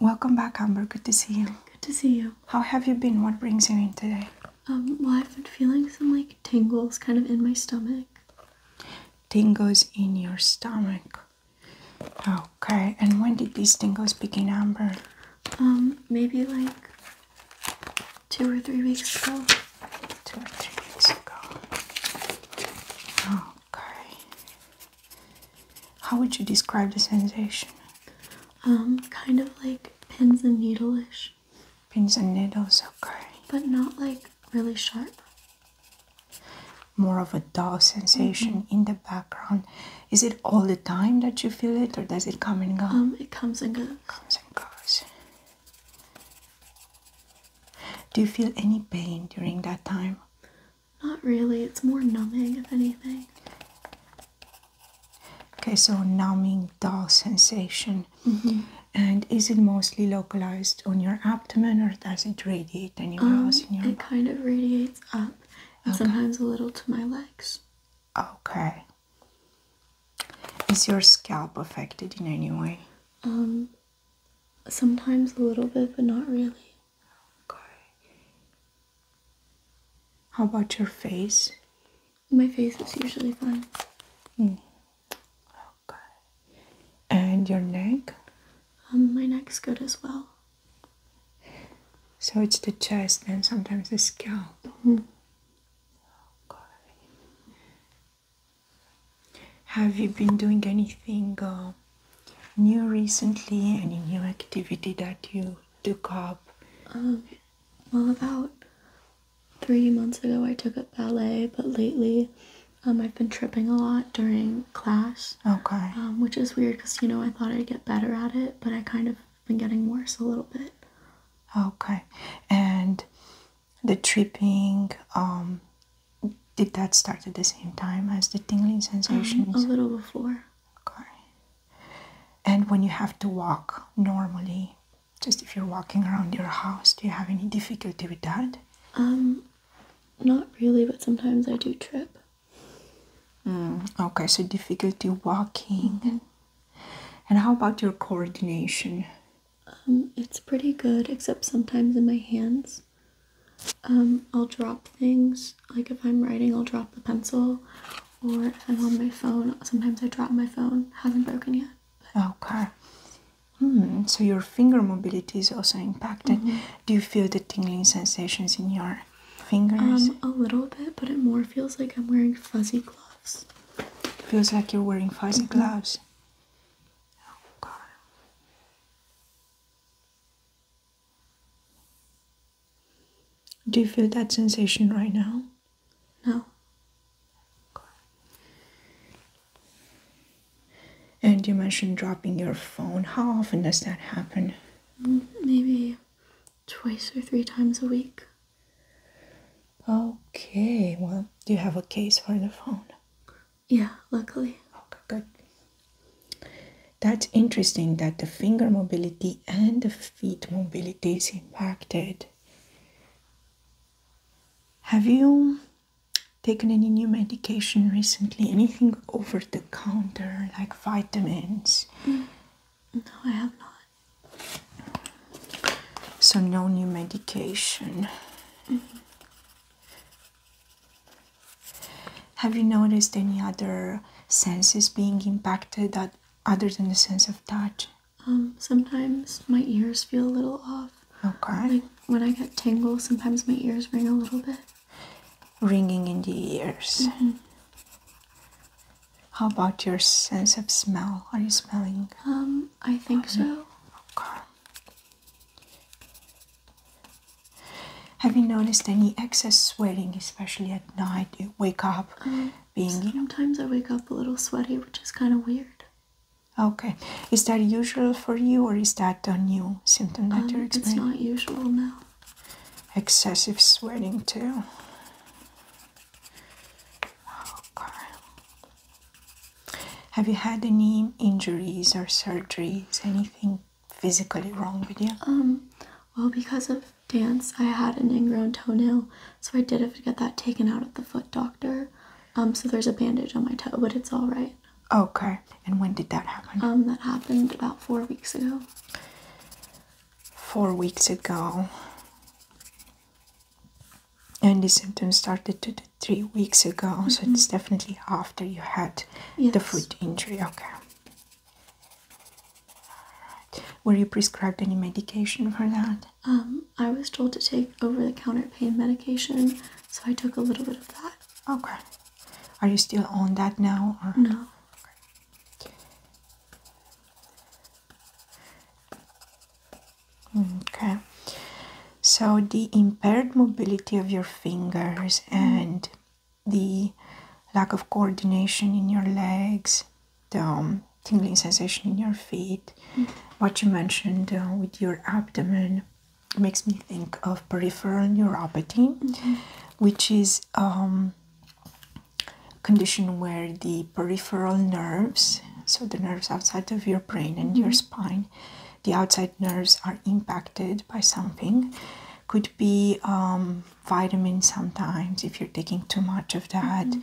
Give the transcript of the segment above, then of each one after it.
Welcome back, Amber. Good to see you. Good to see you. How have you been? What brings you in today? Um, well, I've been feeling some like tingles kind of in my stomach. Tingles in your stomach. Okay, and when did these tingles begin, Amber? Um, maybe like two or three weeks ago. Two or three weeks ago. Okay. How would you describe the sensation? Um, kind of like pins and needle-ish. Pins and needles, okay. But not like really sharp. More of a dull sensation mm-hmm. in the background. Is it all the time that you feel it or does it come and go? Um, it comes and goes. Comes and goes. Do you feel any pain during that time? Not really, it's more numbing, if anything. Okay, so numbing, dull sensation. Mm-hmm. And is it mostly localized on your abdomen or does it radiate anywhere um, else in your It kind of radiates up and sometimes a little to my legs. Okay. Is your scalp affected in any way? Um, sometimes a little bit, but not really. Okay. How about your face? My face is usually fine. Mm. Okay. And your neck? Um, my neck's good as well. So it's the chest and sometimes the scalp. Mm. Okay. Have you been doing anything? Uh, new recently? Any new activity that you took up? Um, well, about three months ago, I took up ballet, but lately, um, I've been tripping a lot during class. Okay. Um, which is weird because you know I thought I'd get better at it, but I kind of been getting worse a little bit. Okay, and the tripping, um, did that start at the same time as the tingling um, sensations? a little before okay and when you have to walk normally just if you're walking around your house do you have any difficulty with that um not really but sometimes i do trip mm, okay so difficulty walking and how about your coordination um it's pretty good except sometimes in my hands um, I'll drop things. Like if I'm writing, I'll drop the pencil, or if I'm on my phone, sometimes I drop my phone. has not broken yet. Okay. Hmm. So your finger mobility is also impacted. Mm-hmm. Do you feel the tingling sensations in your fingers? Um, a little bit, but it more feels like I'm wearing fuzzy gloves. feels like you're wearing fuzzy mm-hmm. gloves. Oh do you feel that sensation right now? No. And you mentioned dropping your phone. How often does that happen? Mm, maybe twice or three times a week. Okay, well, do you have a case for the phone? Yeah, luckily. Okay, good. That's interesting that the finger mobility and the feet mobility is impacted. Have you taken any new medication recently? Anything over the counter, like vitamins? Mm, no, I have not. So, no new medication. Mm-hmm. Have you noticed any other senses being impacted other than the sense of touch? Um, sometimes my ears feel a little off. Okay. Like when I get tingle, sometimes my ears ring a little bit. Ringing in the ears. Mm-hmm. How about your sense of smell? Are you smelling? Um, I think so. Okay. Have you noticed any excess sweating, especially at night? You wake up mm. being. Sometimes I wake up a little sweaty, which is kind of weird. Okay. Is that usual for you, or is that a new symptom that um, you're experiencing? It's not usual now. Excessive sweating, too. Okay. Have you had any injuries or surgeries? Anything? physically wrong with you? Um, well, because of dance, I had an ingrown toenail, so I did have to get that taken out at the foot doctor. Um, so there's a bandage on my toe, but it's all right. Okay. And when did that happen? Um, that happened about four weeks ago. Four weeks ago. And the symptoms started two to three weeks ago, so it's mm-hmm. definitely after you had the foot injury. Okay. Were you prescribed any medication for that? Um, I was told to take over-the-counter pain medication, so I took a little bit of that. Okay. Are you still on that now? No. okay. So the impaired mobility of your fingers mm-hmm. and the lack of coordination in your legs, the um, tingling sensation in your feet. Mm-hmm. What you mentioned uh, with your abdomen makes me think of peripheral neuropathy, mm-hmm. which is a um, condition where the peripheral nerves, so the nerves outside of your brain and your mm-hmm. spine, the outside nerves are impacted by something could be um, vitamins sometimes if you're taking too much of that mm-hmm.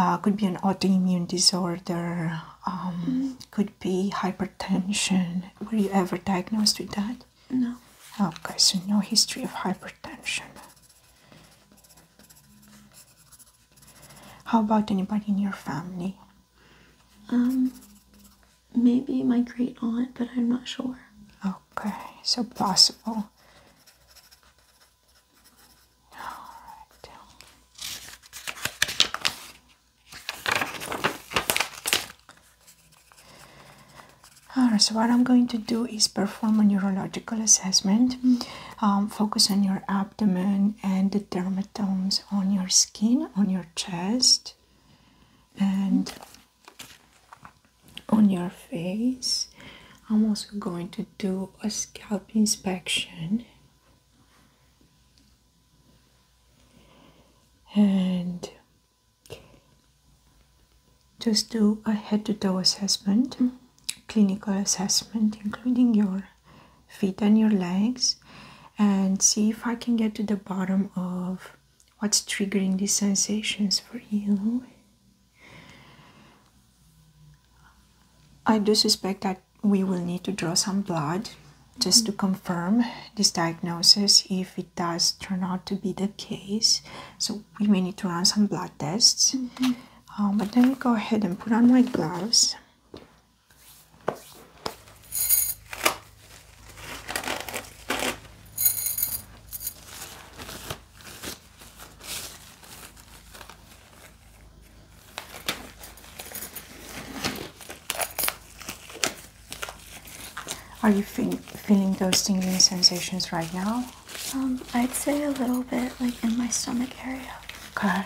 uh, could be an autoimmune disorder um, mm-hmm. could be hypertension were you ever diagnosed with that no okay so no history of hypertension how about anybody in your family um maybe my great aunt, but I'm not sure. Okay, so possible. All right. so what I'm going to do is perform a neurological assessment, mm-hmm. um, focus on your abdomen and the dermatomes on your skin, on your chest, and mm-hmm on your face. I'm also going to do a scalp inspection. And just do a head to toe assessment, mm-hmm. clinical assessment, including your feet and your legs, and see if I can get to the bottom of what's triggering these sensations for you. I do suspect that we will need to draw some blood just to mm-hmm. confirm this diagnosis if it does turn out to be the case. So, we may need to run some blood tests. Mm-hmm. Uh, but then me go ahead and put on my gloves. Are you feeling those tingling sensations right now? Um, I'd say a little bit, like in my stomach area. Okay.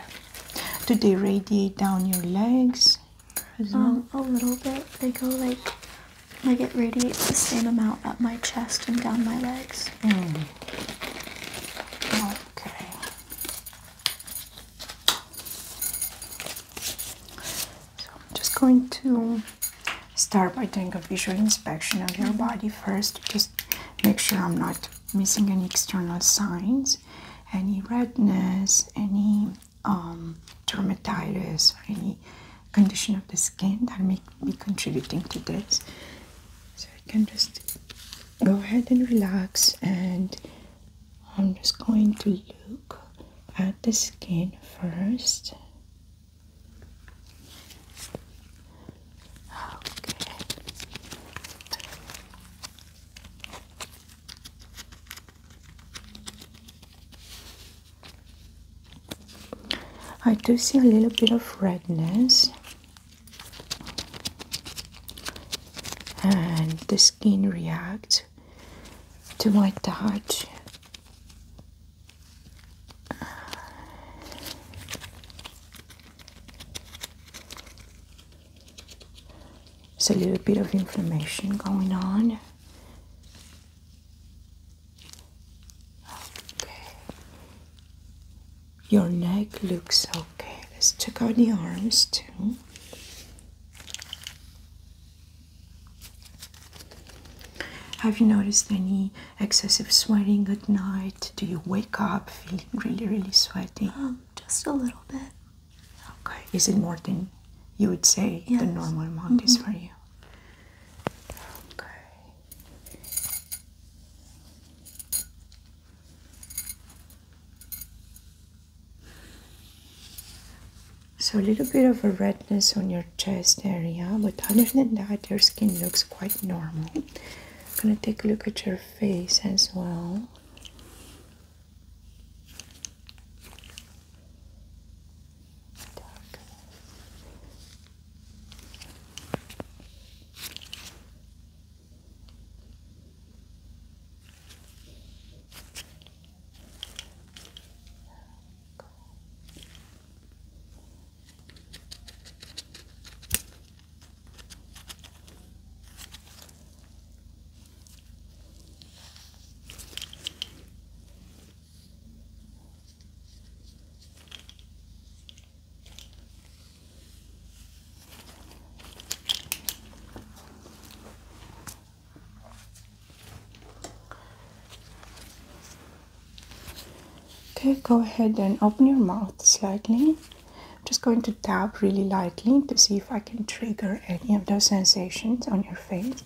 Do they radiate down your legs, um, a little bit. They go like, like it radiates the same amount up my chest and down my legs. Okay. So I'm just going to start by doing a visual inspection of your mm-hmm. body first. Just make sure I'm not missing any external signs, any redness, any um, dermatitis or any condition of the skin that may be contributing to this. So you can just go ahead and relax and I'm just going to look at the skin first. Okay. I do see a little bit of redness, and the skin reacts to my touch. It's a little bit of inflammation going on. Okay. Your neck looks okay. Let's check out the arms too. Have you noticed any excessive sweating at night? Do you wake up feeling really, really sweaty? Um, just a little bit. Okay. Is it more than you would say the normal amount is mm-hmm. for you? Okay. So a little bit of a redness on your chest area, but other than that, your skin looks quite normal. I'm gonna take a look at your face as well. Dark. Okay, go ahead and open your mouth slightly. just going to tap really lightly to see if I can trigger any of those sensations on your face.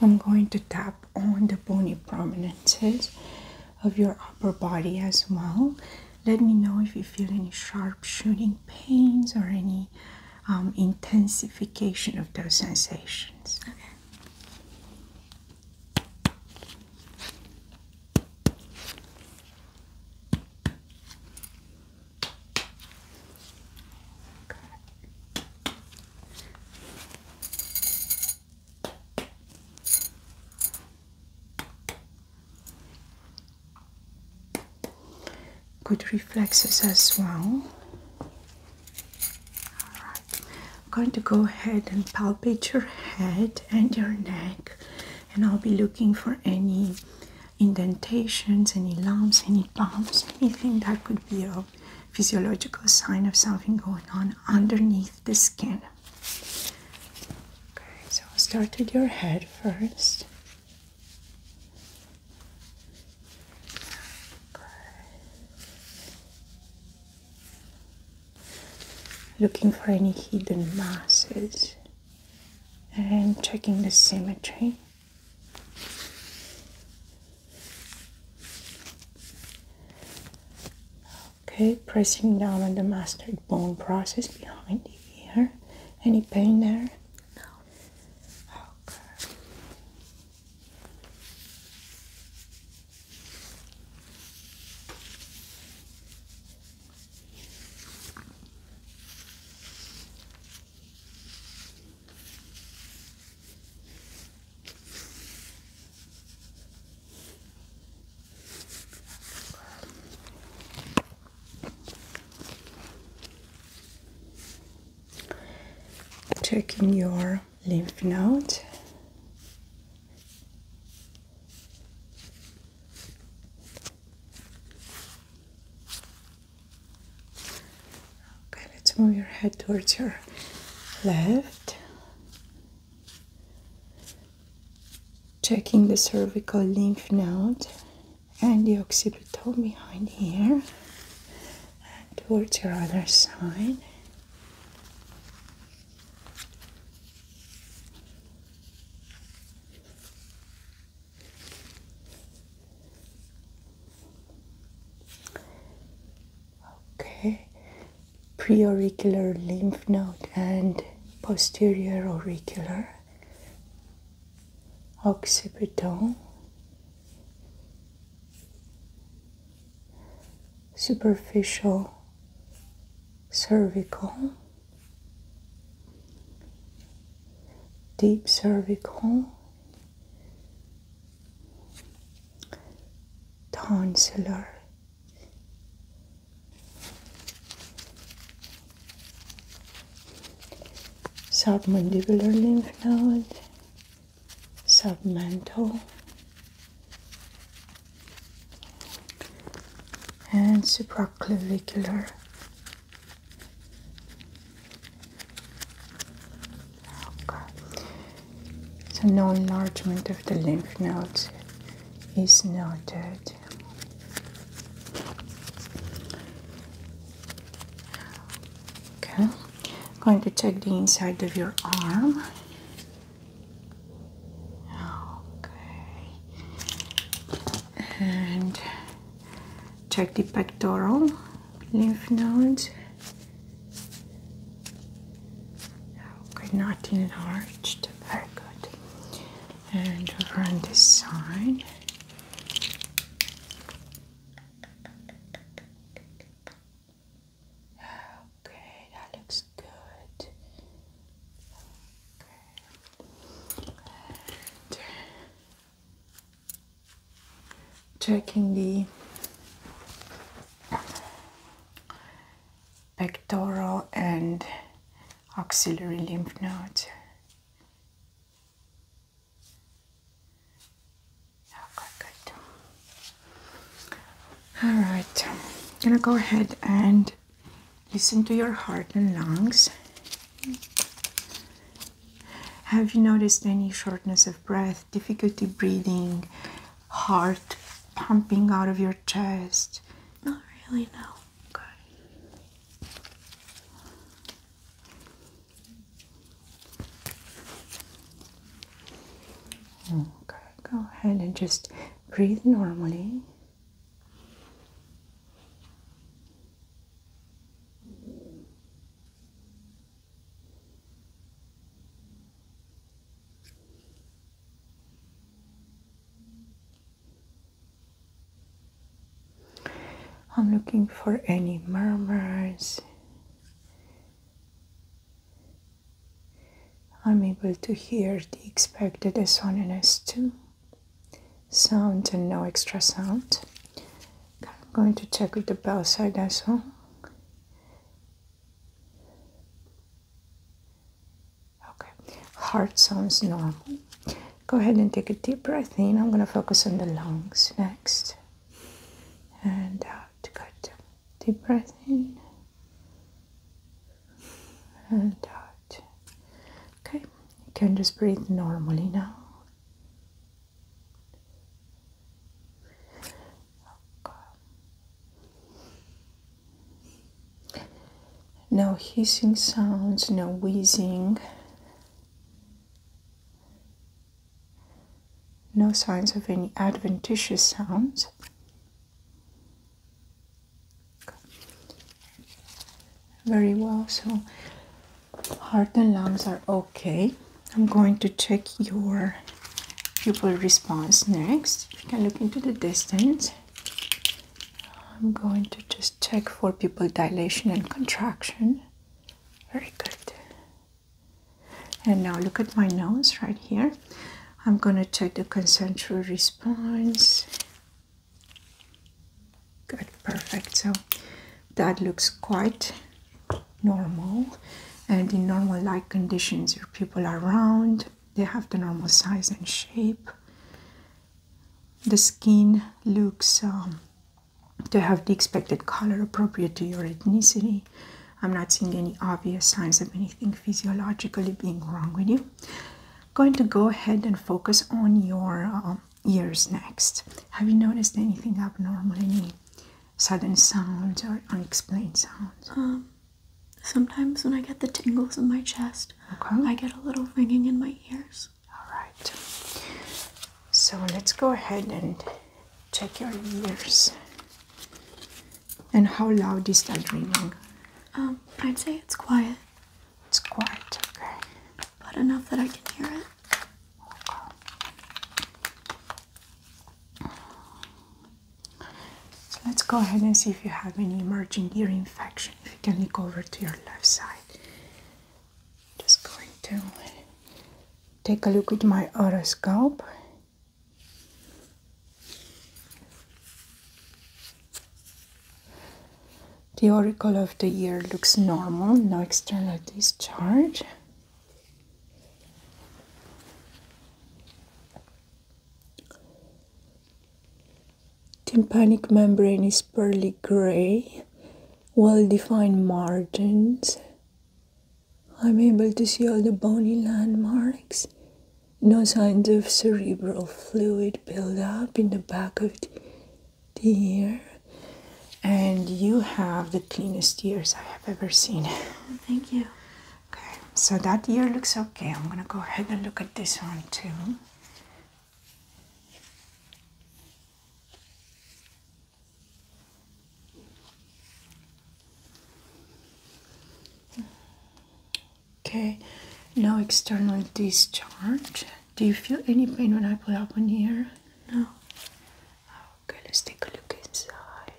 I'm going to tap on the bony prominences of your upper body as well. Let me know if you feel any sharp shooting pains or any um, intensification of those sensations. Good reflexes as well. I'm going to go ahead and palpate your head and your neck, and I'll be looking for any indentations, any lumps, any bumps, anything that could be of physiological sign of something going on underneath the skin. Okay, so I'll start with your head first. Looking for any hidden masses and checking the symmetry. Okay, pressing down on the mastoid bone process behind the ear. Any pain there? No. Okay. Checking your lymph node. Okay, let's move your head towards your left. Checking the cervical lymph node and the occipital behind here towards your other side. Okay, preauricular lymph node and posterior auricular, occipital, superficial cervical, deep cervical, Tonsillar. Submandibular lymph node, submental, and supraclavicular. Okay. So no enlargement of the lymph nodes is noted. Okay. I'm going to check the inside of your arm. Okay. And check the pectoral lymph nodes okay not oh, enlarged very good and over on this side okay that looks good okay checking the pectoral and auxiliary lymph nodes. alright I'm gonna go ahead and listen to your heart and lungs. Have you noticed any shortness of breath? difficulty breathing, heart pumping out of your chest? Not really, no. Okay. Okay, go ahead and just breathe normally. I'm looking for any murmurs. I'm able to hear the expected S1 and S2 sound and no extra sound. I'm going to check with the bell side as well. Okay, heart sounds normal. Go ahead and take a deep breath in. I'm going to focus on the lungs next. And out. Good. Deep breath in. And out. Okay, you can just breathe normally now. No hissing sounds, no wheezing, no signs of any adventitious sounds. Very well, so heart and lungs are okay. I'm going to check your pupil response next. You can look into the distance. I'm going to just check for pupil dilation and contraction. Very good. And now look at my nose right here. I'm going to check the consensual response. Good, perfect. So that looks quite normal and in normal light conditions your people are round they have the normal size and shape the skin looks um, to have the expected color appropriate to your ethnicity i'm not seeing any obvious signs of anything physiologically being wrong with you going to go ahead and focus on your um, ears next have you noticed anything abnormal in? sudden sounds or unexplained sounds? Um, sometimes when I get the tingles in my chest, I get a little ringing in my ears. All right. So let's go ahead and check your ears. And how loud is that ringing? Um, I'd say it's quiet. It's quiet, okay. But enough that I can hear it. So let's go ahead and see if you have any emerging ear infection. I can look over to your left side, just going to take a look with my otoscope. The auricle of the ear looks normal, no external discharge. Tympanic membrane is pearly gray, well defined margins. I'm able to see all the bony landmarks. No signs of cerebral fluid buildup in the back of the ear and you have the cleanest ears I have ever seen. Thank you. Okay, so that ear looks okay. I'm gonna go ahead and look at this one too. Okay, no external discharge. Do you feel any pain when I pull up an here? No. Oh, Okay, let's take a look inside.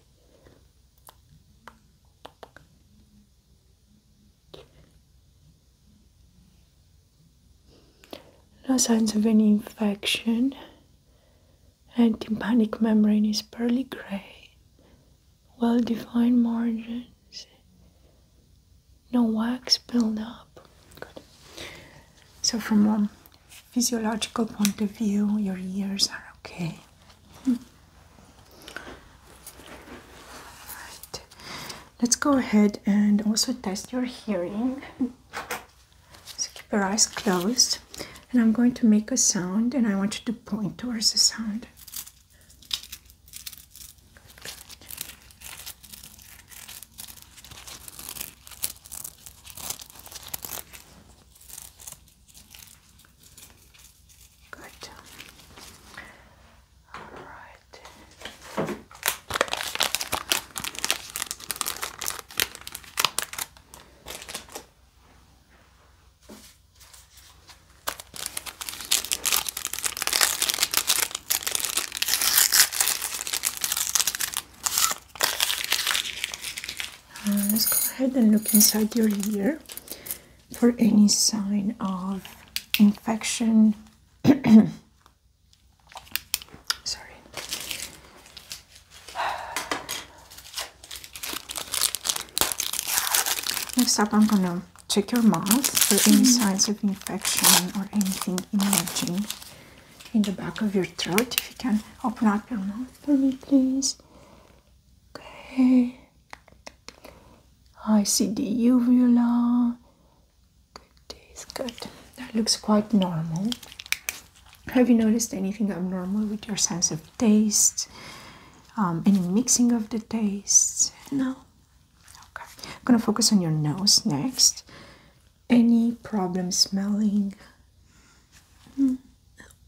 No signs of any infection. Tympanic membrane is pearly gray. Well defined margins. No wax buildup. Good. So from one physiological point of view, your ears are okay. Hmm. All right. Let's go ahead and also test your hearing. So keep your eyes closed, and I'm going to make a sound, and I want you to point towards the sound. Good. All right. Uh, let's go ahead and look inside your ear for any sign of infection. Sorry. Next up, I'm gonna check your mouth for any mm-hmm. signs of infection or anything emerging in the back of your throat. If you can open up your mouth for me, please. Okay. I see the uvula. Good days, good. That looks quite normal. Have you noticed anything abnormal with your sense of taste? Um, any mixing of the tastes? No? Okay. I'm gonna focus on your nose next. Any problem smelling? Hmm.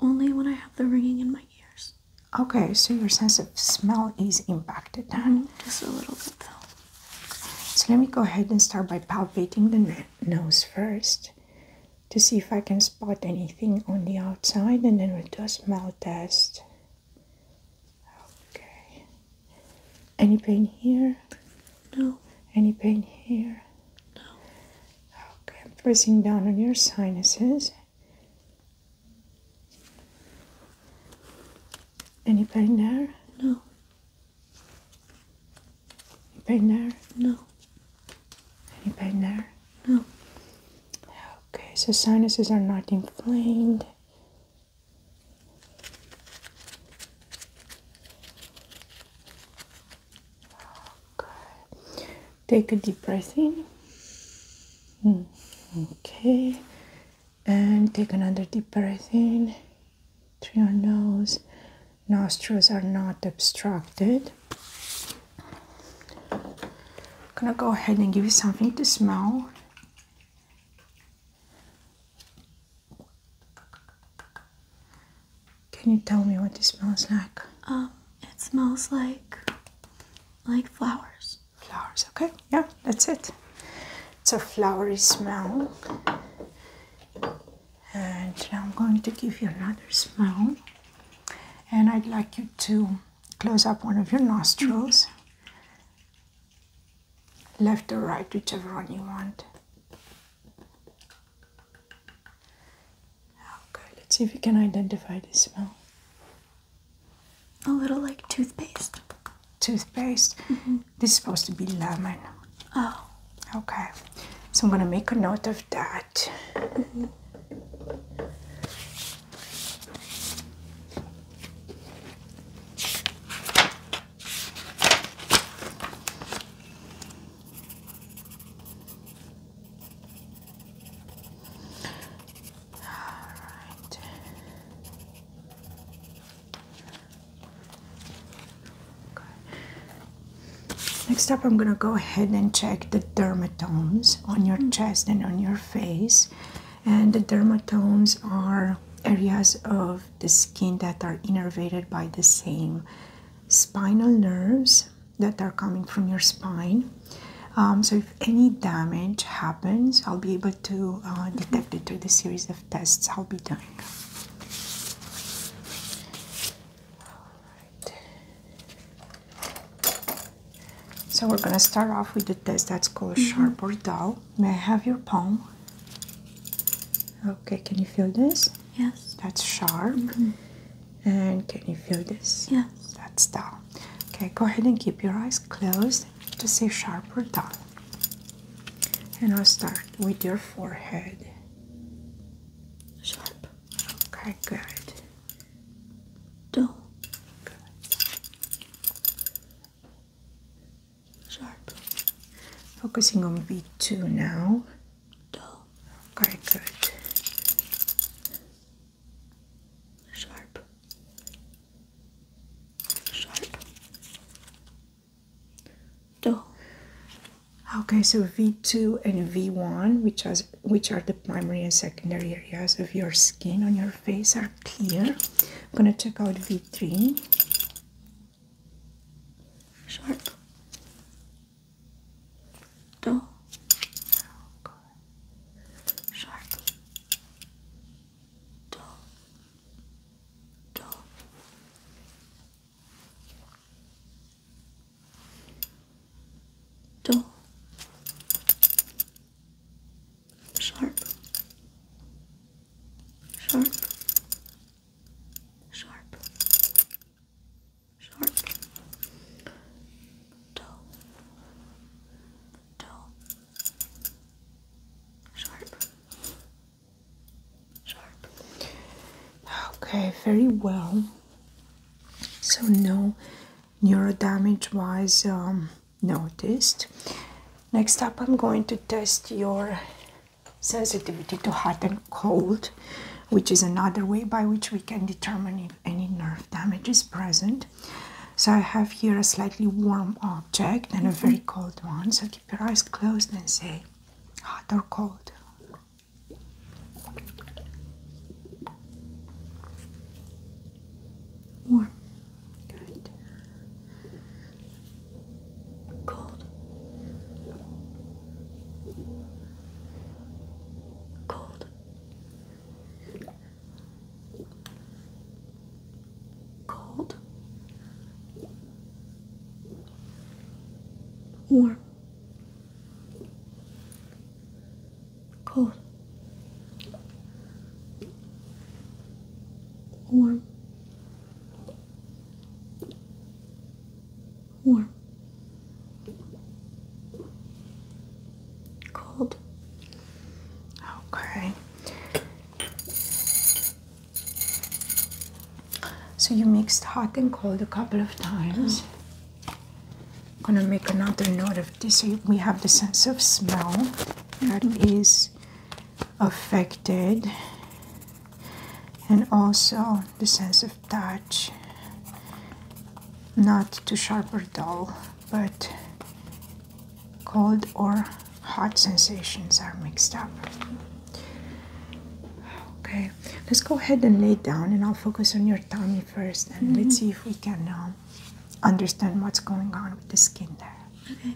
only when I have the ringing in my ears. Okay, so your sense of smell is impacted. Mm-hmm. Just a little bit though. So let me go ahead and start by palpating the nose first to see if I can spot anything on the outside and then we'll do a smell test. Okay. Any pain here? No. Any pain here? No. Okay, I'm pressing down on your sinuses. Any pain there? No. Any pain there? No. Any pain there? No. Okay, so sinuses are not inflamed. Take a deep breath in. Mm, okay. And take another deep breath in through your nose. Nostrils are not obstructed. I'm gonna go ahead and give you something to smell. Can you tell me what it smells like? Um, it smells like like flowers. Flowers, okay. Yeah, that's it. It's a flowery smell. And now I'm going to give you another smell. And I'd like you to close up one of your nostrils. Left or right, whichever one you want. Okay, let's see if you can identify the smell. A little like toothpaste. Toothpaste? Mm-hmm. This is supposed to be lemon. Oh. Okay, so I'm gonna make a note of that. Mm-hmm. All right. Next up, I'm going to go ahead and check the dermatomes on your mm-hmm. chest and on your face. And the dermatomes are areas of the skin that are innervated by the same spinal nerves that are coming from your spine. Um, so if any damage happens, I'll be able to uh, detect it through the series of tests I'll be doing. So we're going to start off with the test that's called sharp mm-hmm. or dull. May I have your palm? Okay, can you feel this? Yes. That's sharp. Mm-hmm. And can you feel this? Yes. That's down. Okay, go ahead and keep your eyes closed to see sharp or dull. And I'll start with your forehead. Sharp. Okay, good. Down. Good. Sharp. Focusing on V2 now dull, very sharp, sharp, dull. Okay, so V2 and V1, which, has, which are the primary and secondary areas of your skin on your face, are clear. I'm gonna check out V3. Sharp. Dull. Oh. Sharp. Dull. Dull. Dull. Sharp. Sharp. Sharp sharp dull dull sharp sharp okay very well so no neuro damage was um, noticed next up i'm going to test your sensitivity to hot and cold, which is another way by which we can determine if any nerve damage is present. So I have here a slightly warm object and a mm-hmm. very cold one. So keep your eyes closed and say hot or cold. Warm. Good cold, cold, cold, warm, cold. Warm, warm, cold. Okay. So you mixed hot and cold a couple of times. I'm gonna make another note of this. So we have the sense of smell that is affected, and also the sense of touch. Not too sharp or dull, but cold or hot sensations are mixed up. Okay, let's go ahead and lay down, and I'll focus on your tummy first, and let's mm-hmm. see if we can um, understand what's going on with the skin there. Okay.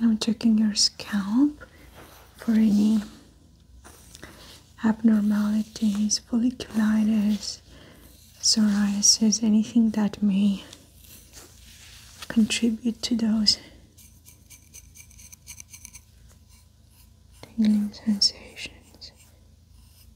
I'm checking your scalp for any abnormalities, folliculitis, psoriasis, anything that may contribute to those tingling sensations.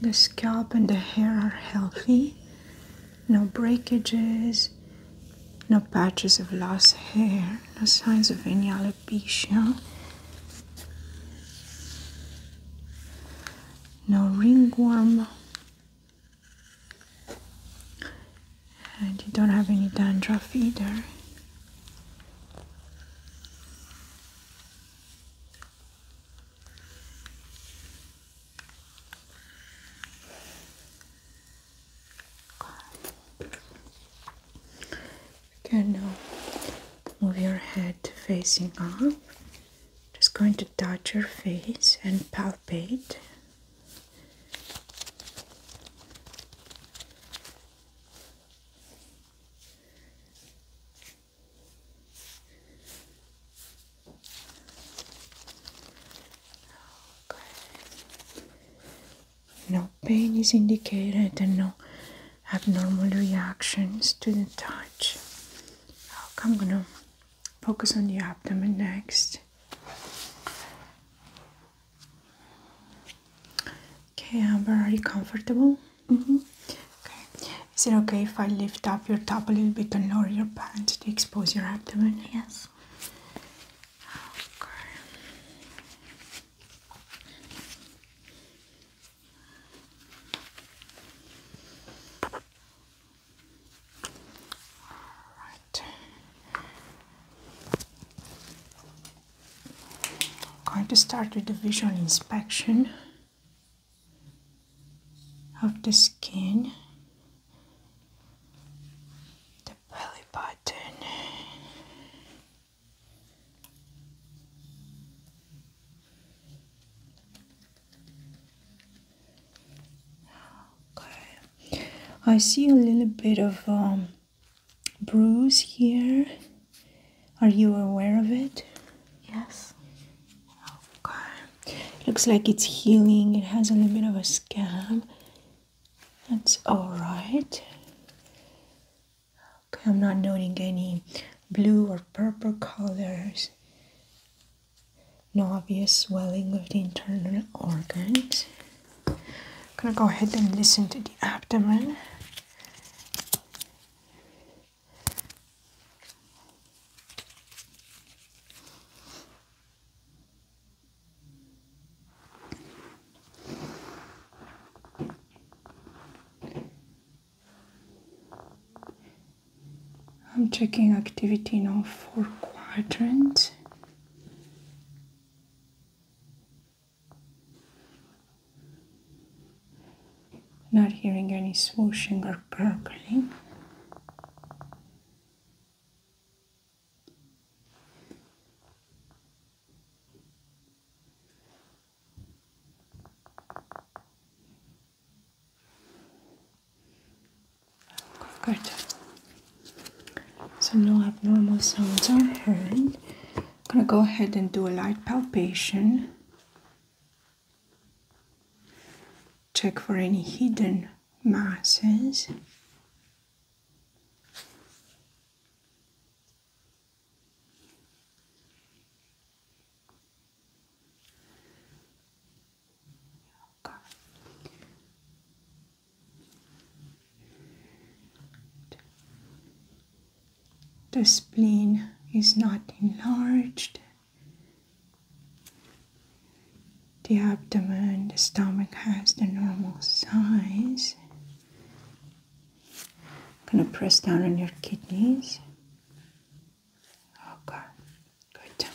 The scalp and the hair are healthy. No breakages, no patches of lost hair, no signs of any alopecia. No ringworm. And you don't have any dandruff either. You can now move your head facing up. Just going to touch your face and palpate. No pain is indicated and no abnormal reactions to the touch. I'm gonna focus on the abdomen next. Okay, I'm already comfortable. Mm-hmm. Okay. Is it okay if I lift up your top a little bit and lower your pants to expose your abdomen? Yes. Okay. All right. I'm going to start with the visual inspection of the skin, the belly button. Okay, I see a little bit of um, bruise here. Are you aware of it? Yes. Okay. looks like it's healing. It has a little bit of a scab. That's all right. Okay, I'm not noting any blue or purple colors. No obvious swelling of the internal organs. I'm gonna go ahead and listen to the abdomen. I'm checking activity in all four quadrants. Not hearing any swooshing or purpling. Good. So no abnormal sounds are heard. I'm gonna go ahead and do a light palpation Check for any hidden masses. The spleen is not enlarged. The abdomen, the stomach has the normal size. gonna press down on your kidneys. Okay, oh, good.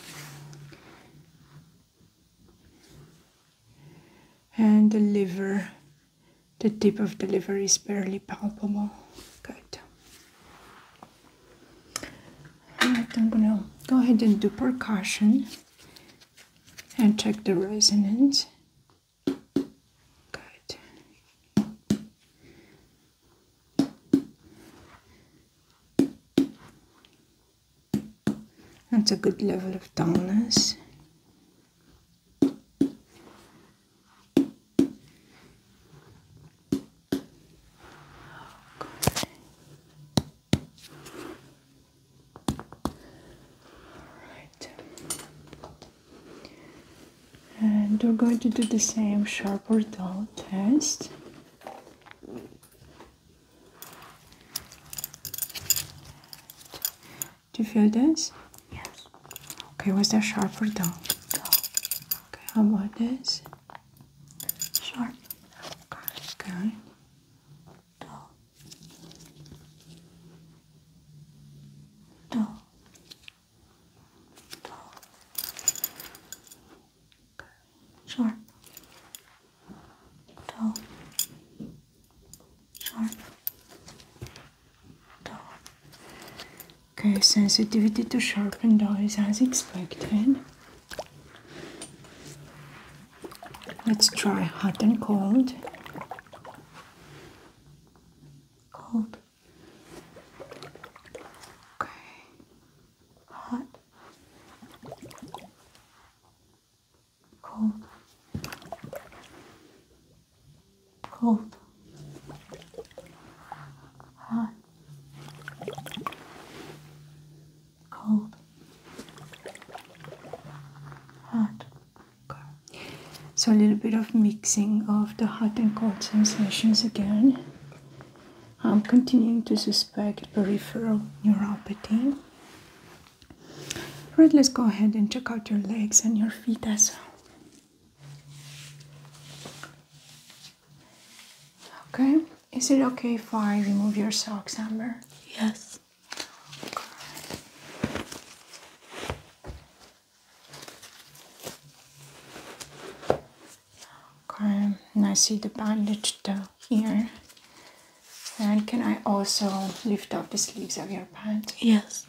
And the liver, the tip of the liver is barely palpable. Good. Alright, I'm gonna go ahead and do percussion and check the resonance. That's a good level of dullness. And we're going to do the same sharp or dull test. Do you feel this? Yes. Okay, was that sharp or dull? Dull. Okay, how about this? Sharp. Okay. okay. Do. Do. Do. Okay. Sharp. Do. Okay, sensitivity to sharpened eyes as expected. Let's try hot and cold. Cold. Okay. Hot. Cold. Cold. Hot cold, hot. Okay. So a little bit of mixing of the hot and cold sensations again. I'm continuing to suspect peripheral neuropathy. Right, let's go ahead and check out your legs and your feet as well. Okay. Is it okay if I remove your socks, Amber? Yes. Okay. And I see the bandage down here. And can I also lift up the sleeves of your pants? Yes.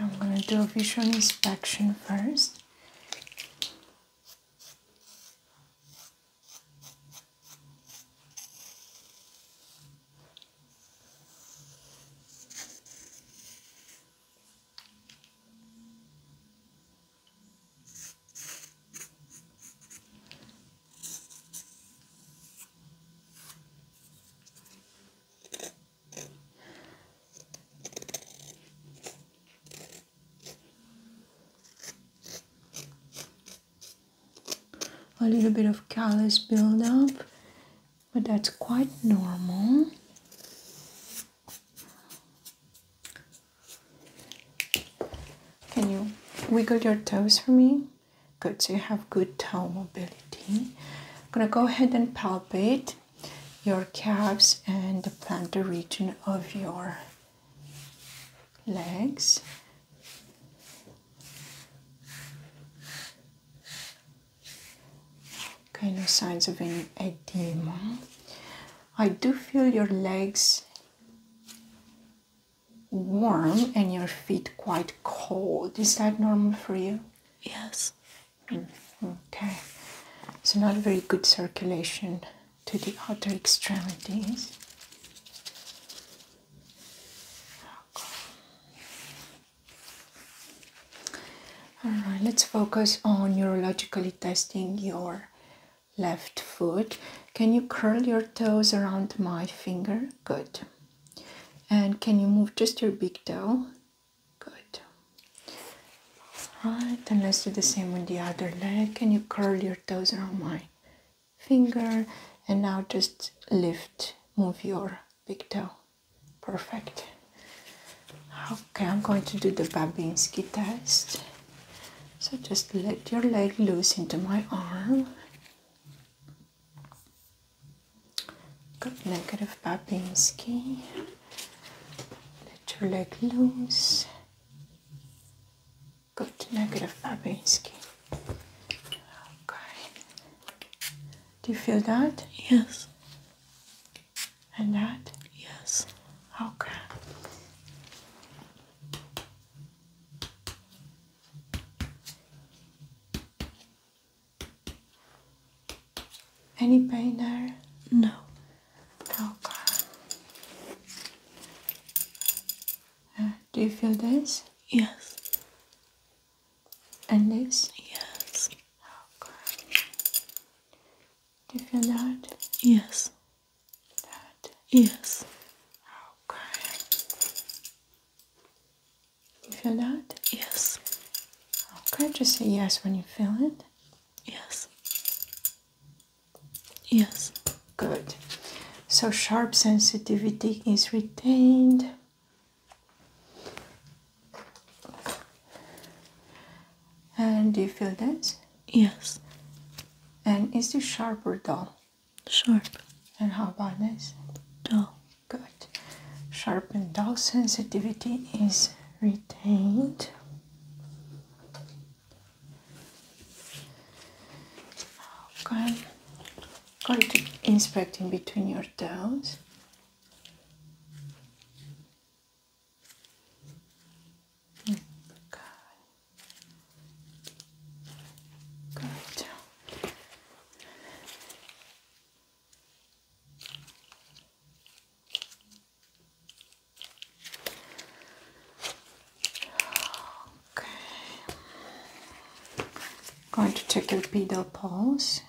I'm going to do a visual inspection first a little bit of callus buildup but that's quite normal. Can you wiggle your toes for me? Good, so you have good toe mobility. I'm gonna go ahead and palpate your calves and the plantar region of your legs. Okay, no signs of any edema. I do feel your legs warm and your feet quite cold. Is that normal for you? Yes. Mm-hmm. okay. So, not very good circulation to the outer extremities. All right, let's focus on neurologically testing your left foot. Can you curl your toes around my finger? Good. And can you move just your big toe? Good. All right, and let's do the same with the other leg. Can you curl your toes around my finger? And now just lift, move your big Perfect. Okay, I'm going to do the Babinski test. So just let your leg loose into my arm. Got negative Babinski. Let your leg loose. Got negative Babinski. Okay. Do you feel that? Yes. And that? Yes. Okay. Any pain there? No. Okay. Uh, do you feel this? Yes and this? Yes. Oh, Do you feel that? Yes. That? Yes. Okay. You feel that? Yes. Okay, just say yes when you feel it. Yes. Yes. Good. So sharp sensitivity is retained. And do you feel that? Yes. And is this sharp or dull? Sharp. And how about this? Dull. Good. Sharp and dull sensitivity is retained. Okay. Going to inspect in between your toes. Good. Good. Okay. I'm going to take your pedal pulse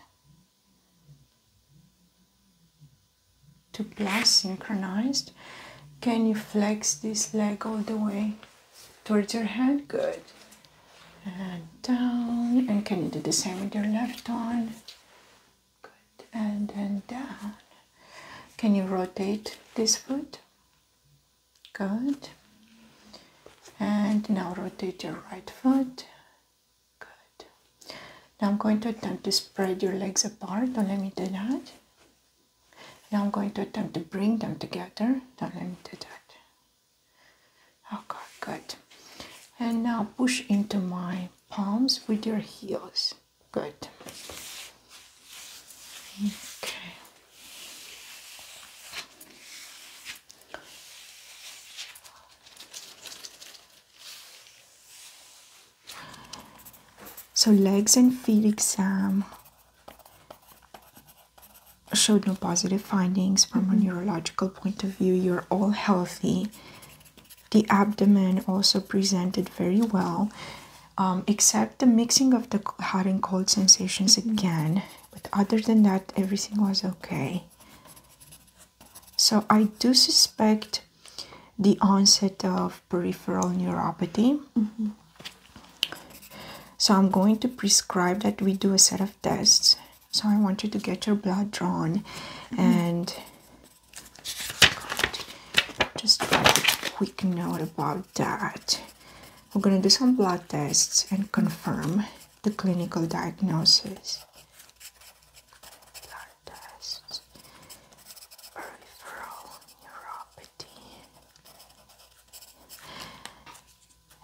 to plus synchronized. Can you flex this leg all the way towards your head? Good. And down. And can you do the same with your left arm? Good. And then down. Can you rotate this foot? Good. And now rotate your right foot. Good. Now I'm going to attempt to spread your legs apart. Don't let me do that. Now I'm going to attempt to bring them together. Don't let me do that. Okay, good. And now push into my palms with your heels. Good. Okay. So legs and feet exam showed no positive findings from a mm-hmm. neurological point of view. You're all healthy. The abdomen also presented very well, um, except the mixing of the hot and cold sensations mm-hmm. again. But other than that, everything was okay. So I do suspect the onset of peripheral neuropathy. Mm-hmm. So I'm going to prescribe that we do a set of tests. So I want you to get your blood drawn mm-hmm. and just a quick note about that. We're going to do some blood tests and confirm the clinical diagnosis blood peripheral neuropathy,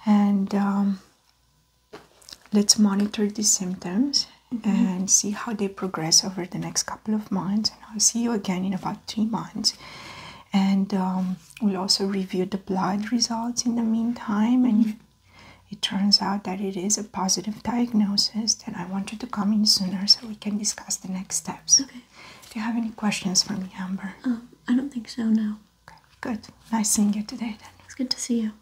and um, let's monitor these symptoms mm-hmm. and see how they progress over the next couple of months. And I'll see you again in about three months. And um, we'll also review the blood results in the meantime. And it turns out that it is a positive diagnosis, and I want you to come in sooner so we can discuss the next steps. Okay. Do you have any questions for me, Amber? Um, I don't think so, no. Okay, good. Nice seeing you today, then. It's good to see you.